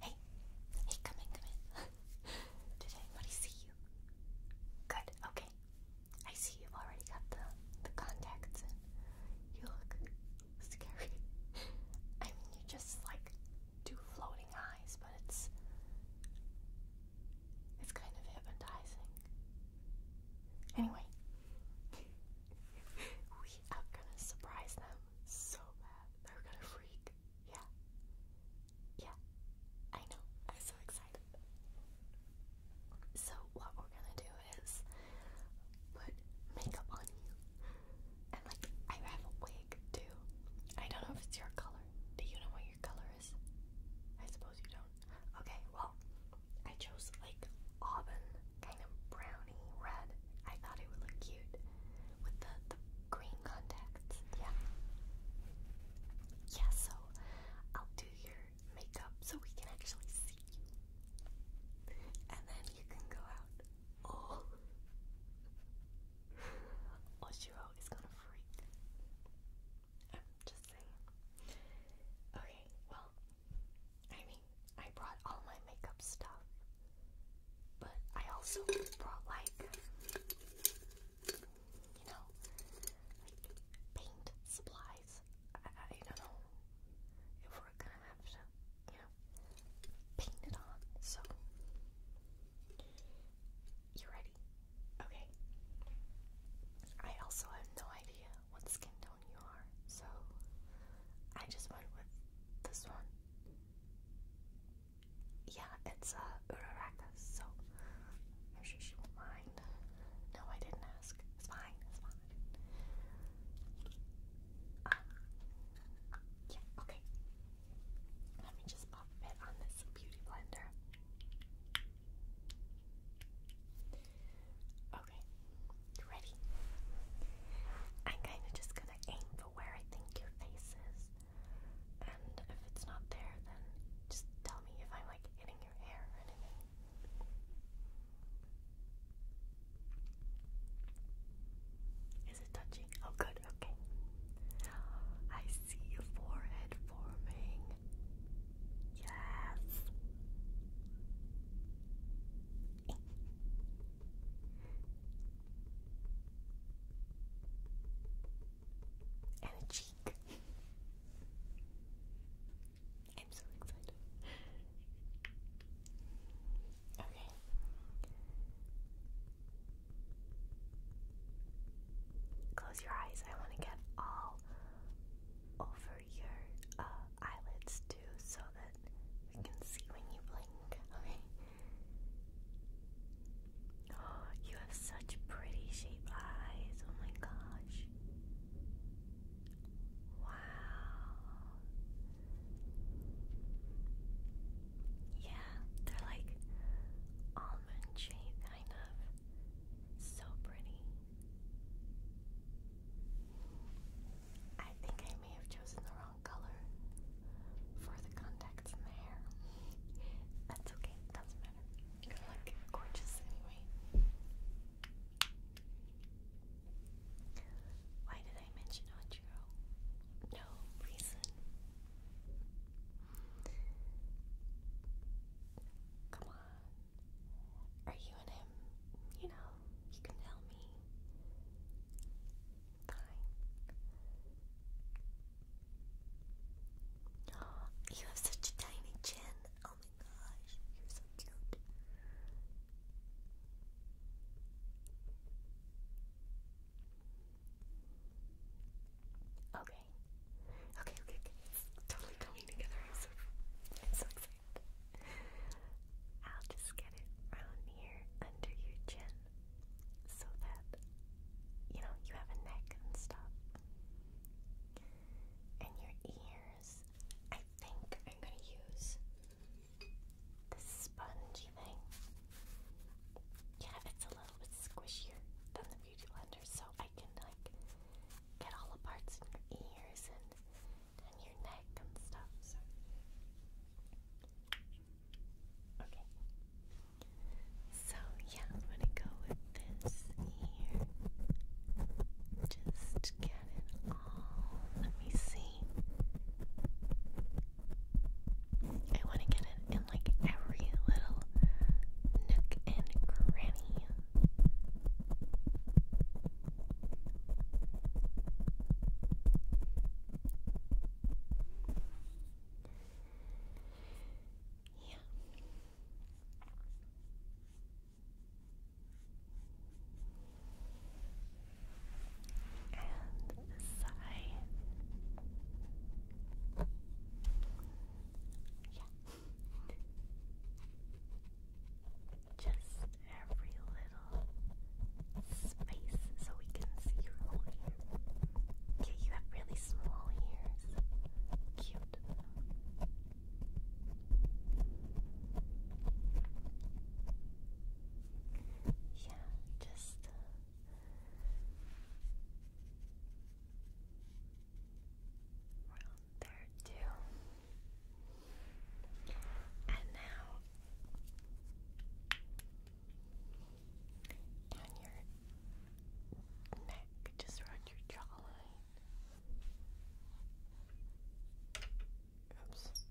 Hey, hey, come in, come in. Did anybody see you? Good, okay. I see you've already got the, the contacts You look scary. I mean, you just like do floating eyes, but it's it's kind of hypnotizing. Anyway, we are gonna surprise them so bad. They're gonna freak. Yeah. Yeah. I know. I'm so excited. So, what we're gonna do is put makeup on you. And, like, I have a wig too. I don't know if it's your color. Do you know what your color I suppose you don't. Okay, well, I chose like auburn, kind of brownie red. I thought it would look cute with the, the green contacts. Yeah. Yeah, so I'll do your makeup so we can actually see you. And then you can go out. Oh. Oshiro is gonna freak. I'm just saying. Okay, well, I mean, I brought all my makeup stuff, but I also brought like, you know, like paint supplies. I, don't know if we're gonna have to, you know, paint it on. So, you ready? Okay. I also have no idea what skin tone you are, so I just went with this one. Yeah, it's uh, Uraraka, so I'm sure she won't mind. No, I didn't ask. It's fine, it's fine. Uh, yeah, okay. Let me just pop it on this beauty blender. Okay, ready? I'm kind of just gonna aim for where I think your face is, and if it's not there, then just tell me if I'm like hitting your hair or anything. Is it touching? Oh, good, okay. I see your forehead forming. Yes. And a cheek. I'm so excited. Okay. Close your eyes. I want to get all over your uh, eyelids too so that we can see when you blink, okay? Oh, you have such pretty shaped eyes. Oh my gosh. Wow. Yeah, they're like almond shaped, kind of. So pretty. I think I may have chosen the wrong color for the contacts in the hair. That's okay, doesn't matter. You look gorgeous anyway. Why did I mention Ochiro? No reason. Come on. Are you and him, you know, you can tell me. Fine. you have such a tiny chin. Oh my gosh, you're so cute. Okay, Okay. Okay, okay, totally coming together. I'm so, excited. I'll just get it around here under your chin so that, you know, you have a neck and stuff. And your ears, I think I'm going to use this spongy thing. Yeah, it's a little bit squishier than the Beauty Blender, so I can like get all the parts in your ears and and your neck and stuff. okay, so yeah, I'm gonna go with this here. Just get it all. Let me see. I want to get it in like every little nook and cranny yeah. And this side. Yeah. Just every little space so we can see your whole ear. Okay, you have really small ears. Cute. Yeah, just. Uh, Around there too. And now down your neck, just around your jawline. Oops.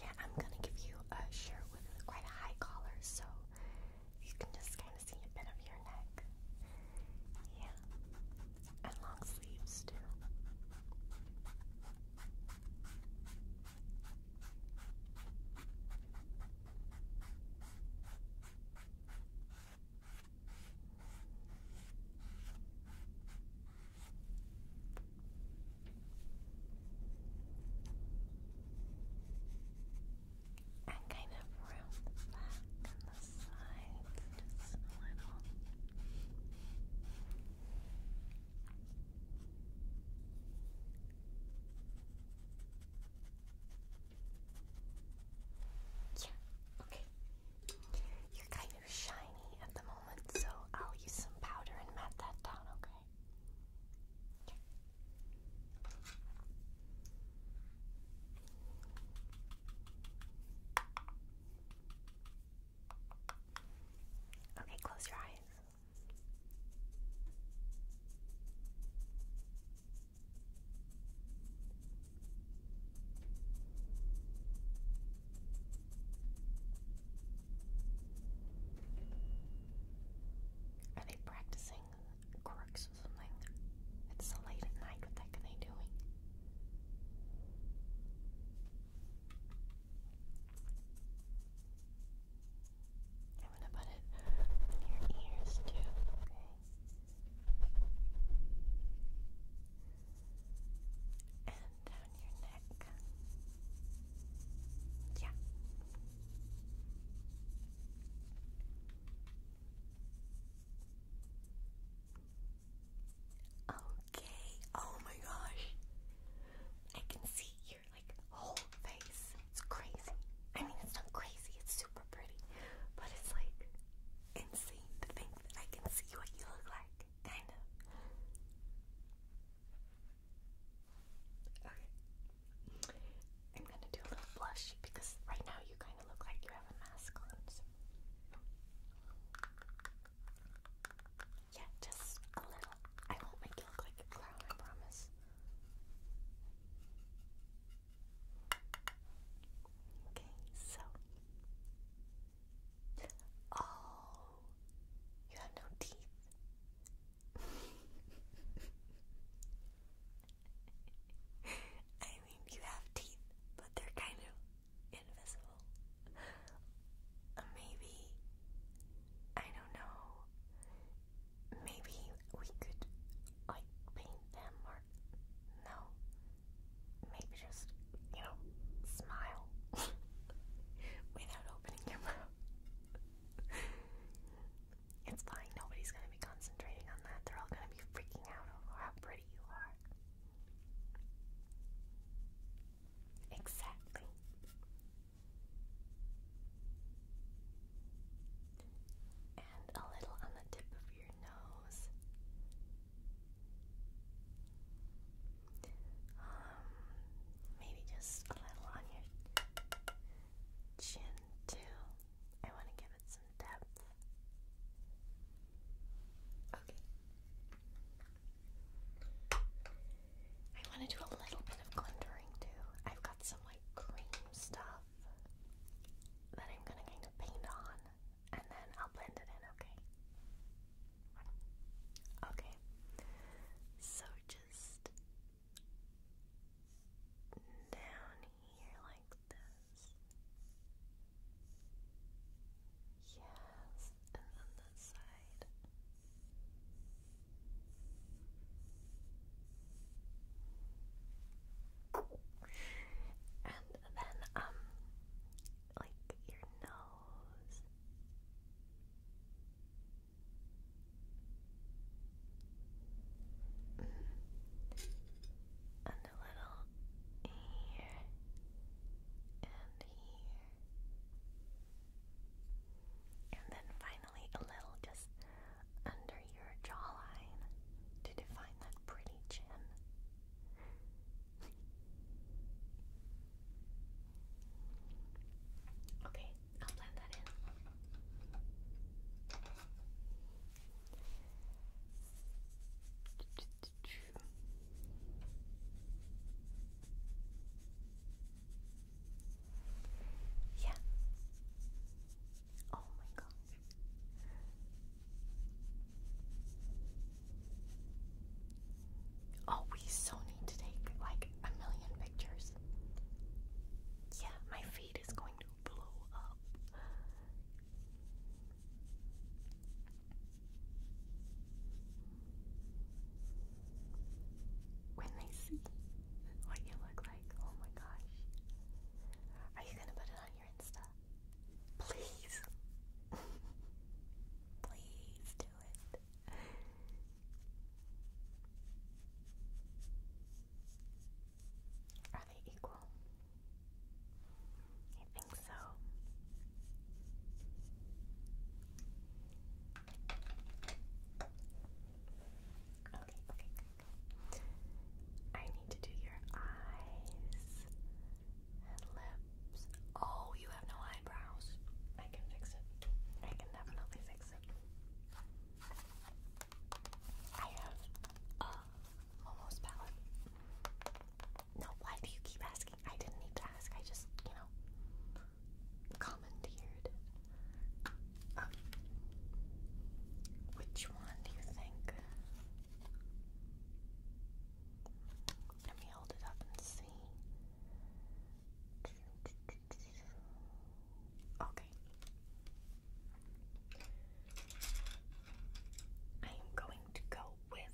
Yeah, I'm gonna give you a shirt with quite high collar so you can just kind of see a bit of your neck. Yeah, and long sleeves too. I kind of round the back and the sides just a little okay. You're kind of shiny at the moment, so I'll use some powder and mat that down, okay? Yeah. Okay, close your eyes. Are they practicing quirks or something? It's so late at night. What the heck are they doing? I'm gonna put it on your ears too, okay? And down your neck. Yeah. Okay. Oh my gosh. I can see you like whole face. It's crazy. I mean, it's not crazy. It's super pretty, but it's like insane to think that I can see what you look like. Kind of. Okay. I'm gonna do a little blush because right now you kind of look like you have a mask on. Yeah, just a little. I won't make you look like a clown, I promise. Okay, so. Oh, you have no teeth. I mean, you have teeth, but they're kind of invisible. maybe. I don't know maybe we could like paint them or no. Maybe just, you know, smile without opening your mouth. it's fine, nobody's gonna be concentrating on that. They're all gonna be freaking out over how pretty you are. Exactly and a little on the tip of your nose. Um, maybe just a little on your chin too. I want to give it some depth. Okay. I want to do a little bit of glittering too. I've got some like cream stuff that I'm gonna kind of paint on and then I'll blend it in, okay? Okay, so just down here like this. Yes, and then this side. And then, um, like your nose. And a little here and here. And then finally a little just under your jawline to define that pretty chin. okay, I'll blend that in. Yeah. Oh my gosh. Oh, we so need to take like a million pictures. Yeah, my feed is going to blow up when they see what you look like. Oh my gosh. Are you gonna put it on your Insta? Please. Please do it. Are they equal? I think so. Okay, okay, I need to do your eyes and lips. Oh, you have no eyebrows. I can fix it. I can definitely fix it. I have a Momo's palette. No, why do you keep asking? I didn't need to ask. I just, you know, commandeered. Uh, which one do you think? Let me hold it up and see. Okay. I am going to go with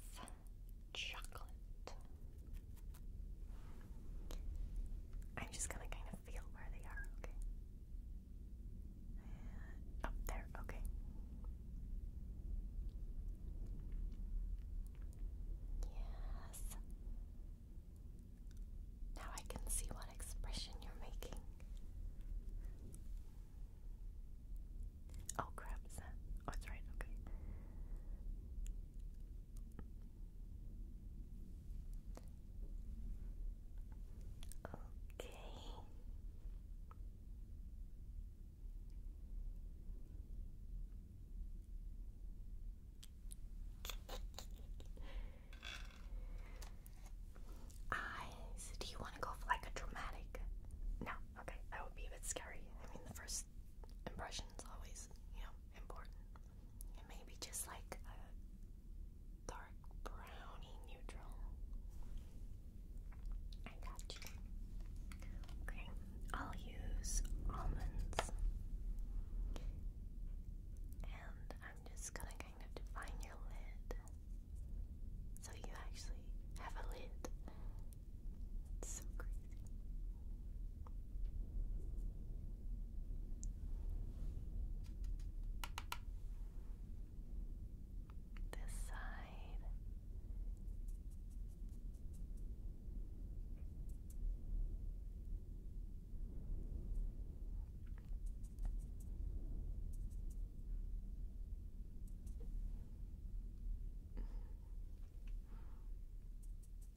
chocolate. I'm just gonna kind of feel where they are, okay? up oh, there, okay. Yes. Now I can see what expression you're making. Oh crap, is oh, right, okay. Okay. Eyes. Do you want to go for like a dramatic? No. Okay, that would be a bit scary. I mean, the first impression is always, you know, important and maybe just like a dark browny neutral. I got you. Okay, I'll use almonds. And I'm just gonna kind of define your lid. So you actually have a lid. It's so crazy. This side.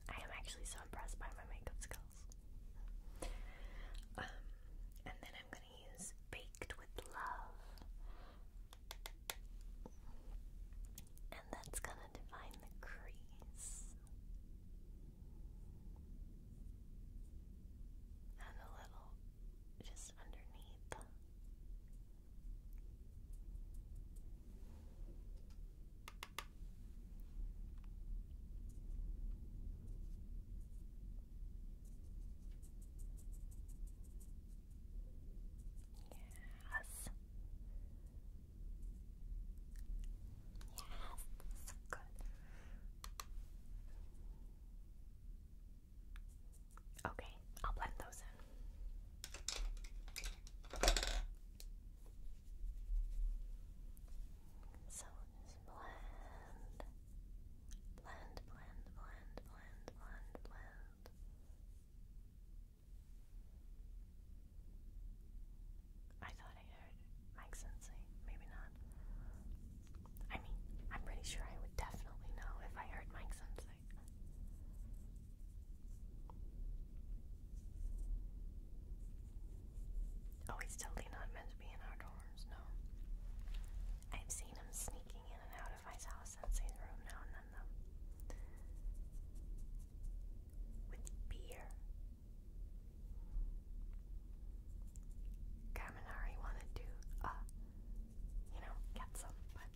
I am actually so impressed by my makeup skills. Um, and then I'm going to use Baked with Love. And that's going to define the crease. And a little just underneath. Yes. Yes, good. Okay, I'll blend those in. So just blend, blend, blend, blend, blend, blend, blend. I thought I heard Mike Sensei, maybe not. I mean, I'm pretty sure I would definitely know if I heard Mike Sensei. Oh, he's totally not meant to be in our dorms, no. I've seen him sneaking in and out of my house and his room now and then, though. With beer. Kaminari wanted to, uh, you know, get some, but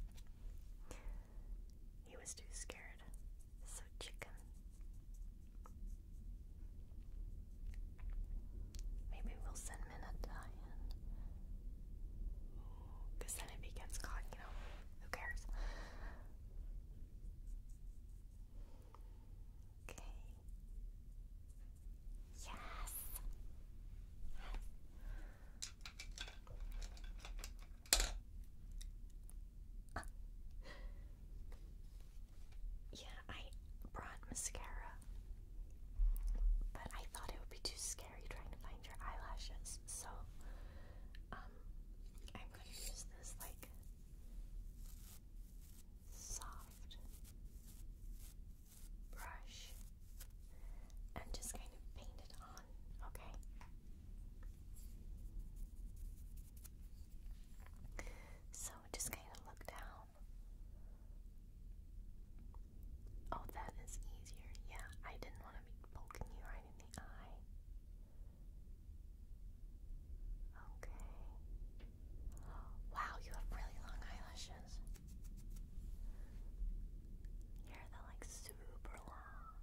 he was too scared. So Chicken Maybe we'll send Minata Because then if he gets you know, who cares? Okay. yes. yeah, I brought mascara, but I thought it would be too scary trying to find your eyelashes, so um, I'm going to use this like soft brush and just kind of paint it on, okay? So just kind of look down. Oh, that is easier. Yeah, I didn't want to be poking you right in the eye. Okay. Wow, you have really long eyelashes. Yeah, they're like super long.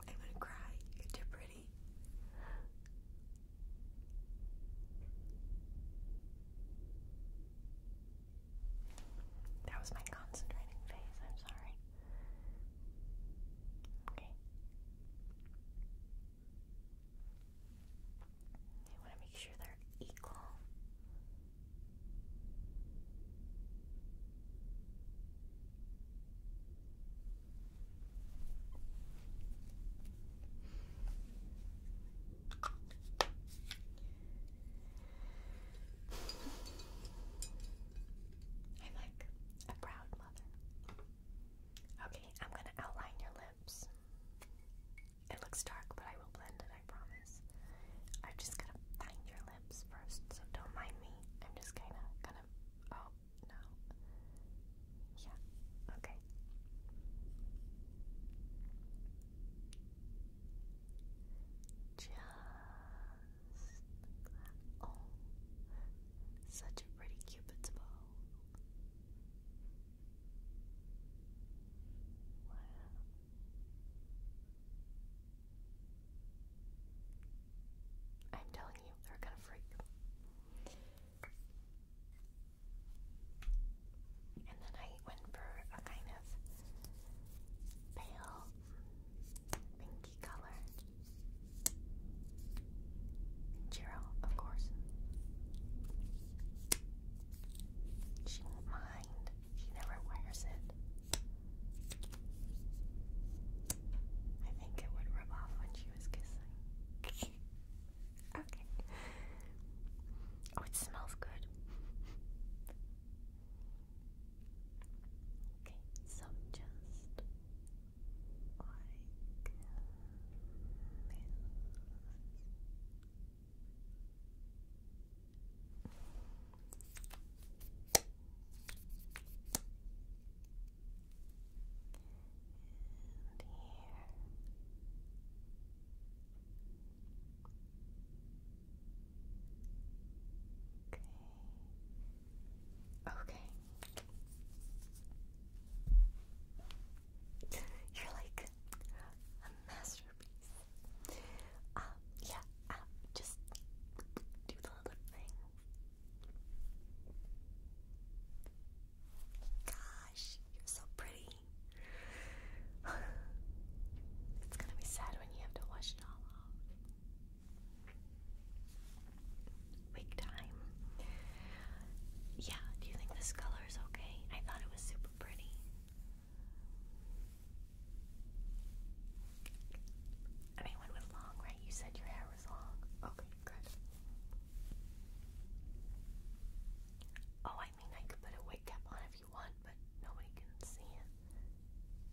I'm gonna cry. You're pretty. That was my concentrating phase. I'm sorry. Okay. I want to make sure they're equal. I'm like a proud mother. Okay, I'm going to outline your lips. It looks dark, but I will blend it, I promise. I'm just gonna find your lips first, so don't mind me. I'm just kinda gonna. Oh, no. Yeah, okay. Just like that. Oh, such a pretty Cupid's bow. Wow. I'm telling you, they're gonna freak. And then I went for a kind of pale pinky color. Jiro, of course. She won't mind. She never wears it. I think it would rub off when she was kissing. okay. Oh, it smells good. okay, so just like this. Okay. Okay. You're like a master yeah, just do the little thing. Gosh, you're so pretty. it's gonna be sad when you have to wash it all off. Wig time. Yeah, do you think this color is okay? I thought it was super pretty. Anyone with long, right? You said your hair was long. Okay, good. Oh, I mean, I could put a wig cap on if you want, but nobody can see it.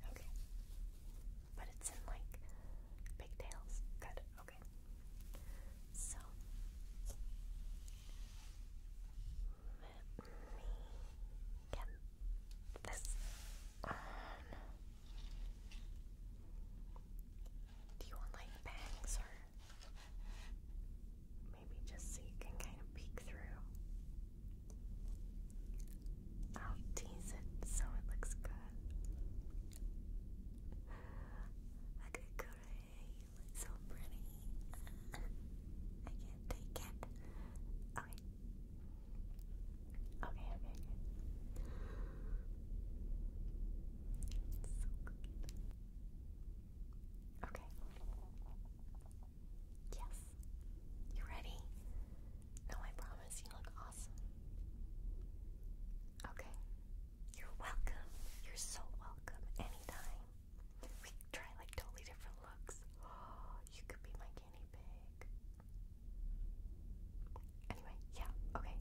Okay. But it's in like pigtails. Good, okay. So, let me get this on. Do you want like bangs or maybe just so you can kind of peek through? I'll tease it so it looks good. I could go you look so pretty. I if they Okay. Okay, okay, Okay. Yes. You ready? No, I promise you look awesome. Okay. You're welcome. You're so welcome anytime. We try like totally different looks. Oh, you could be my guinea pig. Anyway, yeah, okay.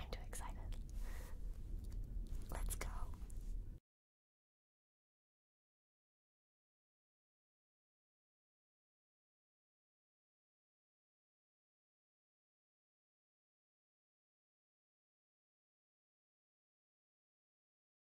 I'm too excited. Let's go.